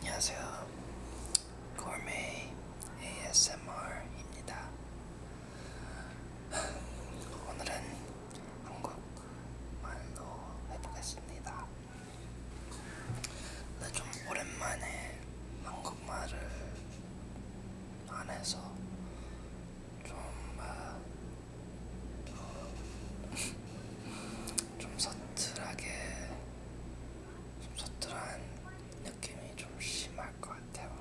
안녕하세요. 고메 ASMR입니다. 오늘은 한국말로 해보겠습니다. 근데 좀 오랜만에 한국말을 안 해서 좀 어, 좀 서툴하게 좀 서툴한 느낌이 좀 심할 것 같아요.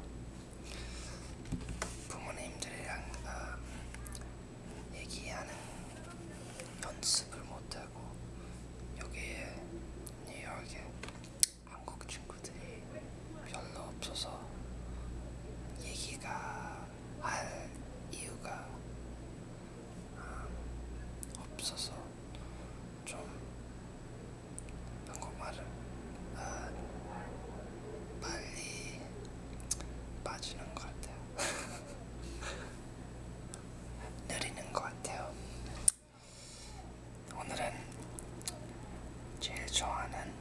부모님들이랑 어, 얘기하는 연습을 못하고 여기에 뉴욕에 한국 친구들이 별로 없어서 얘기가 할 이유가 음, 없어서 좀 한국말을 아, 빨리 빠지는 것 같아요. 느리는 것 같아요. 오늘은 제일 좋아하는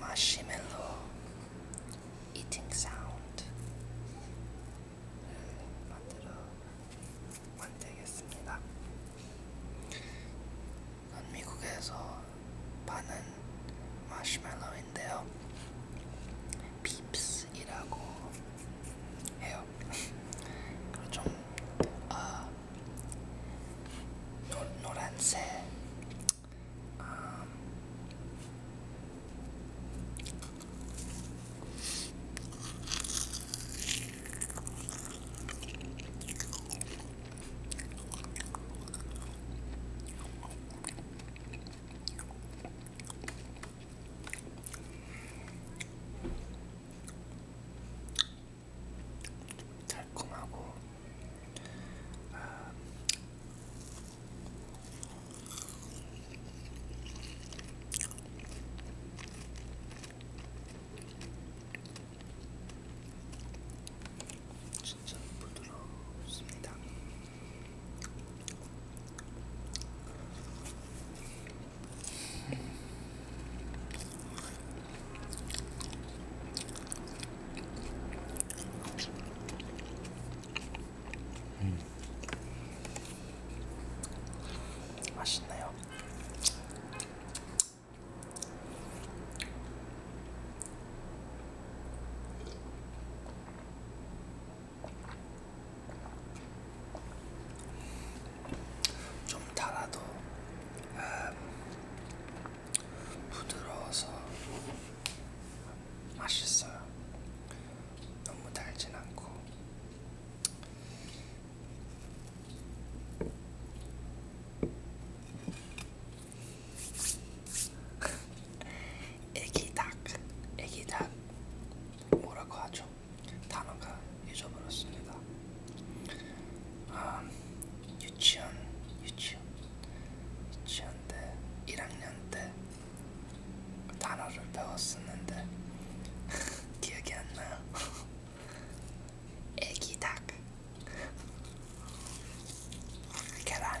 마시멜로 eating sound 음, 만들어 만들겠습니다. 이 미국에서 파는 마시멜로인데요. 빕스이라고 해요. 그리고 좀 어, 노, 노란색 um, 달콤하고 아, 진짜 부드럽습니다. 음. 맛있네요. 좀 달아도 음, 부드러워서 맛있어요. 너무 달진 않고. 애기 닭, 애기 닭 뭐라고 하죠? 단어가 잊어버렸습니다. 아, 유치원, 유치원, 유치원 때 1학년 때 단어를 배웠었는데 기억이 안 나요. 애기 닭, 계란.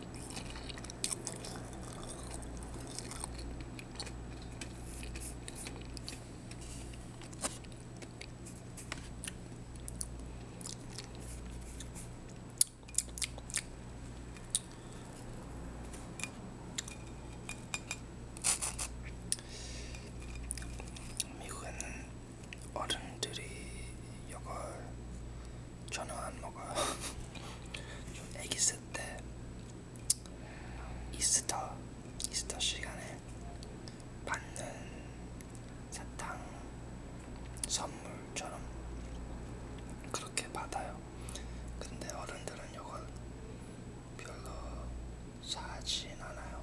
미국에는 어른들이 이걸 저는 안 먹어요. 저 애기 쓸때 이스터 이스터 시간에 받는 사탕 선물처럼 그렇게 받아요. 근데 어른들은 이걸 별로 사진 않아요.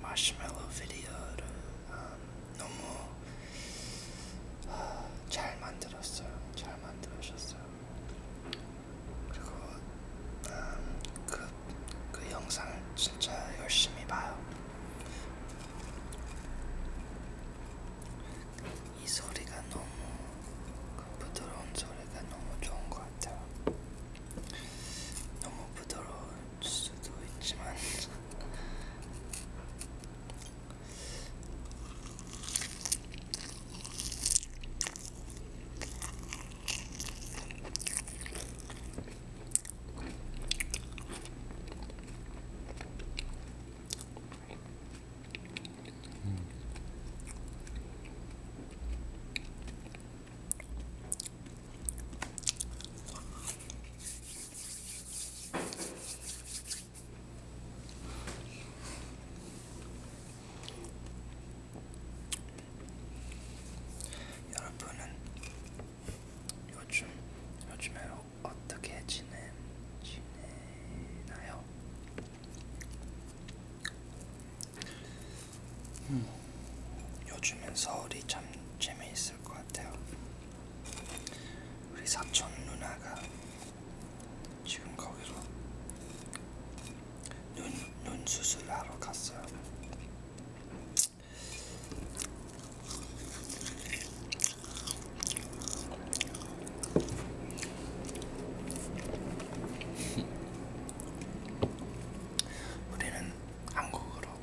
마시멜로 비디오를 음, 너무 아, 잘 만들었어요. 잘 만들어졌어요. 그리고 음, 그, 그 영상을 진짜 열심히 봐요. 이 소리가 너무 그 부드러운 소리가 너무 좋은 것 같아요. 너무 부드러울 수도 있지만 음. 여러분은 요즘 요즘에 어떻게 지내 지내나요? 음. 요즘엔 서울이 참 재미있을 것 같아요. 우리 사촌 누나가 지금 거기로 눈, 눈 수술하러 갔어요. 우리는 한국으로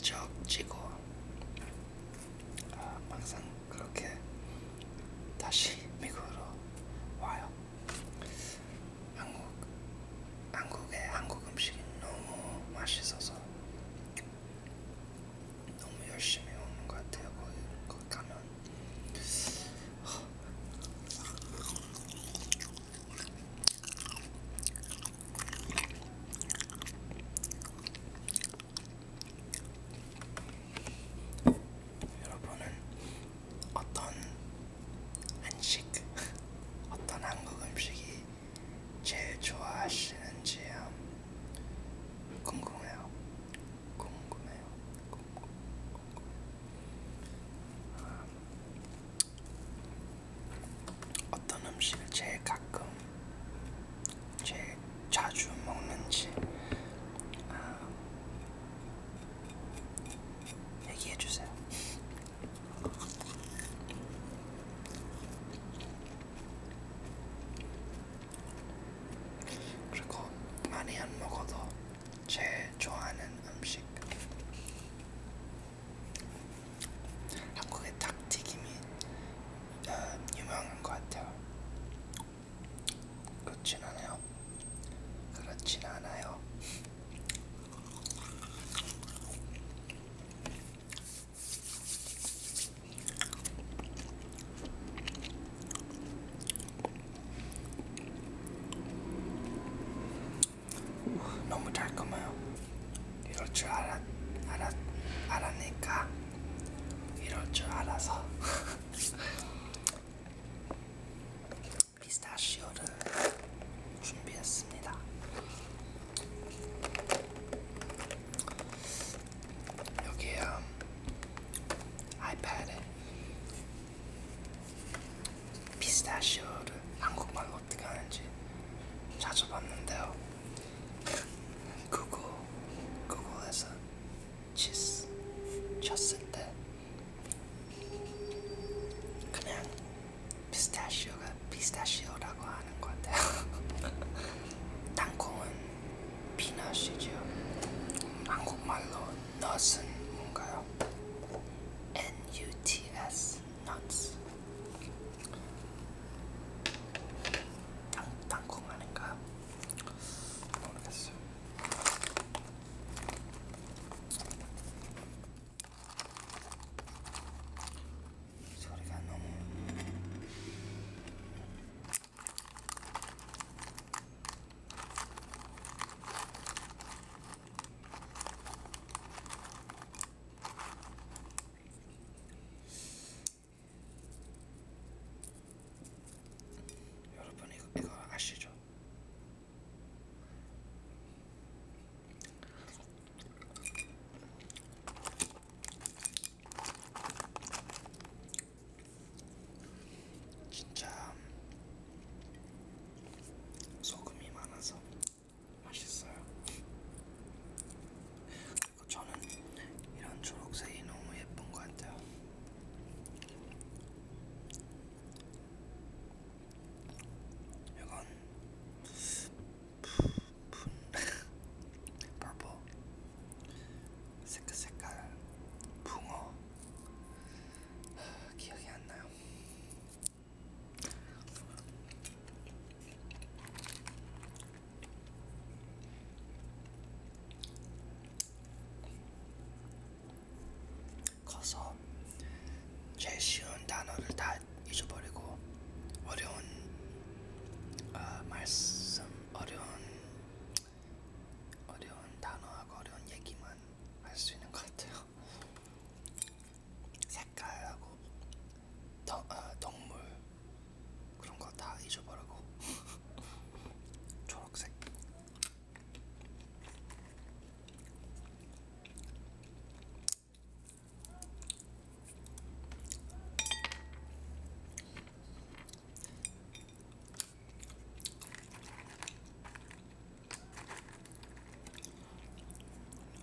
적지고 아, 항상 그렇게 다시 미국으로 와요. 한국 한국의 한국 음식이 너무 맛있어서 너무 열심히 오는 것 같아요. 거기, 거기 가면 여러분은 어떤 한식, 어떤 한국 음식이 제일 좋아하시는지 궁금해요. 궁금해요. 궁금, 궁금해요. 아, 어떤 음식을 제일 가끔 제일 자주 먹는지 아, 얘기해 주세요. 그리고 많이 안 먹어도 제 좋아하는 음식 한국의 닭튀김이 어, 유명한 것 같아요. 그렇진 않아요. 그렇진 않아요. 너무 달콤해요. 이럴 줄 알았, 알았, 알았니까 이럴 줄 알아서 피스타시오를 준비했습니다. 여기에 음, 아이패드에 피스타시오를 한국말로 어떻게 하는지 자주 봤는데요. 구글, 구글에서 치스 쳤을 때 그냥 피스타시오가 피스타시오라고 하는 것 같아요. 땅콩은 피넛이죠. 한국말로 넛은 뭔가요? N U T S nuts. 당, 당콩 아닌가? 모르겠어요. 소리가 너무 여러분 이거, 이거 아시죠? 진짜 소금이 많아서 맛있어요. 그리고 저는 이런 초록색이 너무 예쁜 것 같아요. 이건 푸푼 purple 색깔 색깔 붕어 기억이 안 나요. 커서 제일 쉬운 단어를 다 잊어버리고 어려운 어, 말씀, 어려운 어려운 단어하고 어려운 얘기만 할 수 있는 것 같아요. 색깔하고 덕, 아, 덕물 그런 거 다 잊어버리고 초록색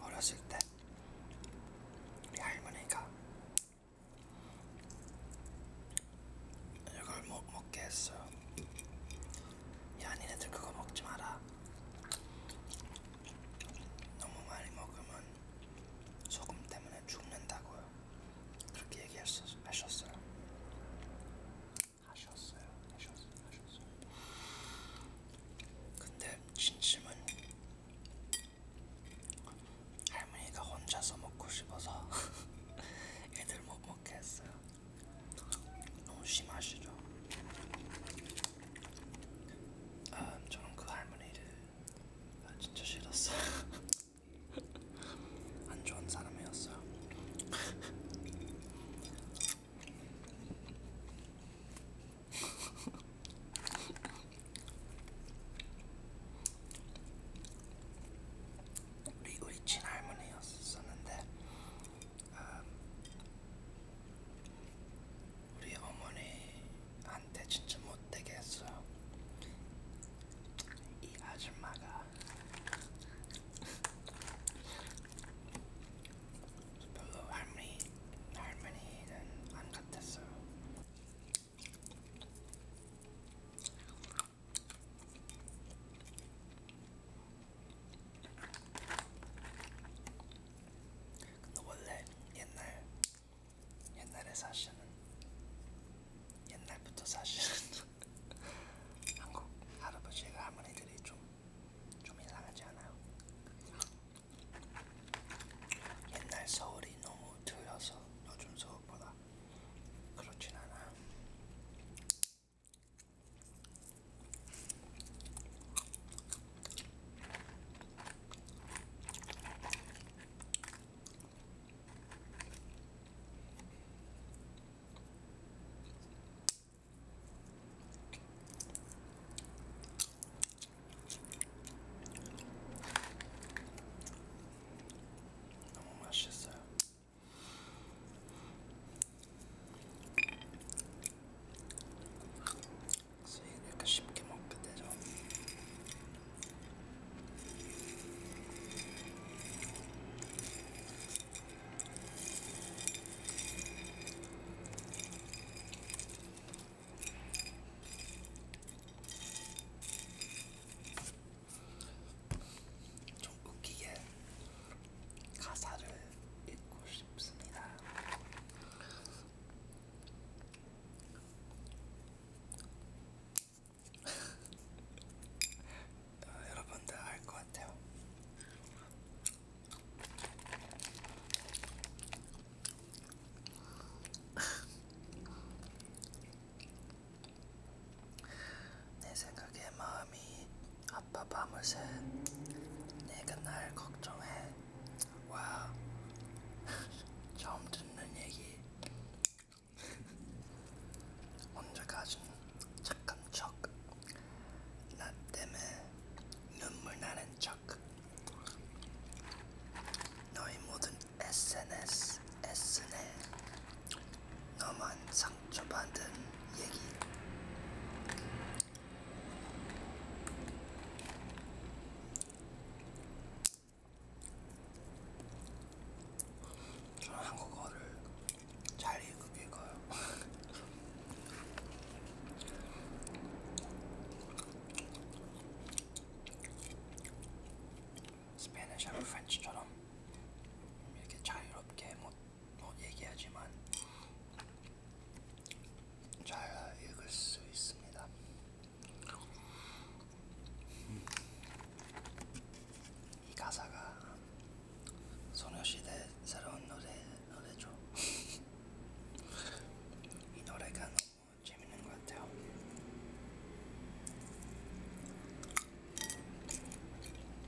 어렸을 때 우리 할머니가 이걸 못 먹게 했어요. 야, 니네들 그거 먹지 마라. 너무 많이 먹으면 소금 때문에 죽는다고요. 그렇게 얘기하셨어요. 하셨어요. 하셨어요. 하셨어요. 근데 진심은 할머니가 혼자서 먹고 싶어서 애들 못 먹게 했어요. 너무 심하시죠? 아, 저는 그 할머니를 아, 진짜 싫었어요. 안 좋은 사람이었어요. 우리 우리 친할머니였었는데 아, 우리 어머니한테 진짜 못되게 했어요. 이 아줌마가 별로 할머니 할머니는 안 같았어요. 근데 원래 옛날 옛날에 사실은 옛날부터 사실은 한국 할아버지가 할머니들이 좀좀 좀 이상하지 않아요? 옛날 서울이 너무 들려서 요즘 서울보다 그렇진 않아. 너무 맛있어요. 그래서 이렇게 쉽게 먹게 되죠. 좀 웃기게 가사를 읽고 싶습니다. 어, 여러분들 알 것 같아요. 내 생각에 마음이 아빠 밤을새 내가 날 걱정해 와 처음 듣는 얘기 언제까진 착한 척나 때문에 눈물 나는 척 너희 모든 SNS S네 너만 상처받은 얘기 저는 한국어를 잘 읽어요 스페인어하고 프렌치처럼 이렇게 자유롭게 뭐, 뭐 얘기하지만 잘 읽을 수 있습니다. 음. 이 가사가 소녀시대 새로운 노래 노래죠. 이 노래가 어, 재밌는 것 같아요.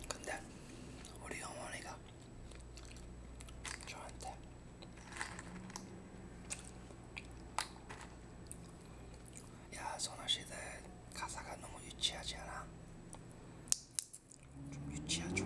근데 우리 어머니가 저한테 야 선아시대 가사가 너무 유치하지 않아? 좀 유치하죠?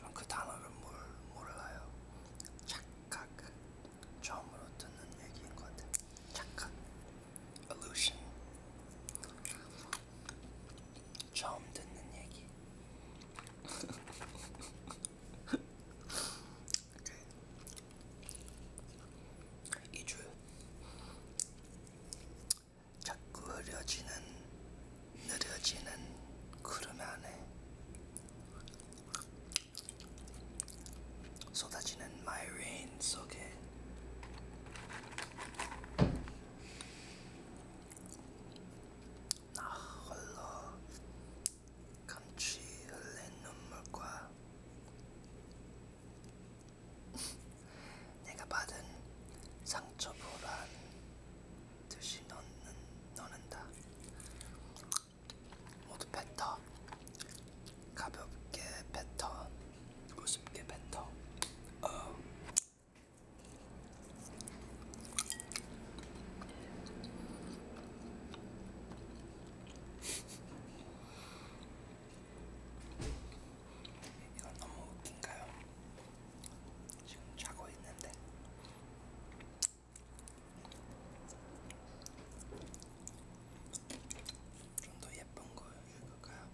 좀그 단어를 뭘 몰라요. 착각. 처음으로 듣는 얘기인 것 같아. 착각. illusion. 처음 듣는 얘기. okay. 이주 자꾸 흐려지는 느려지는 구름 안에 쏟아지는 마이레인 속에 나 홀로 감추 흘린 눈물과 내가 받은 상처보란 듯이 넣는, 넣는다. 모두 패턴 가볍게 패턴 우습게 패턴 어. 이건 너무 웃긴가요? 지금 자고 있는데 좀더 예쁜 거 읽을까요?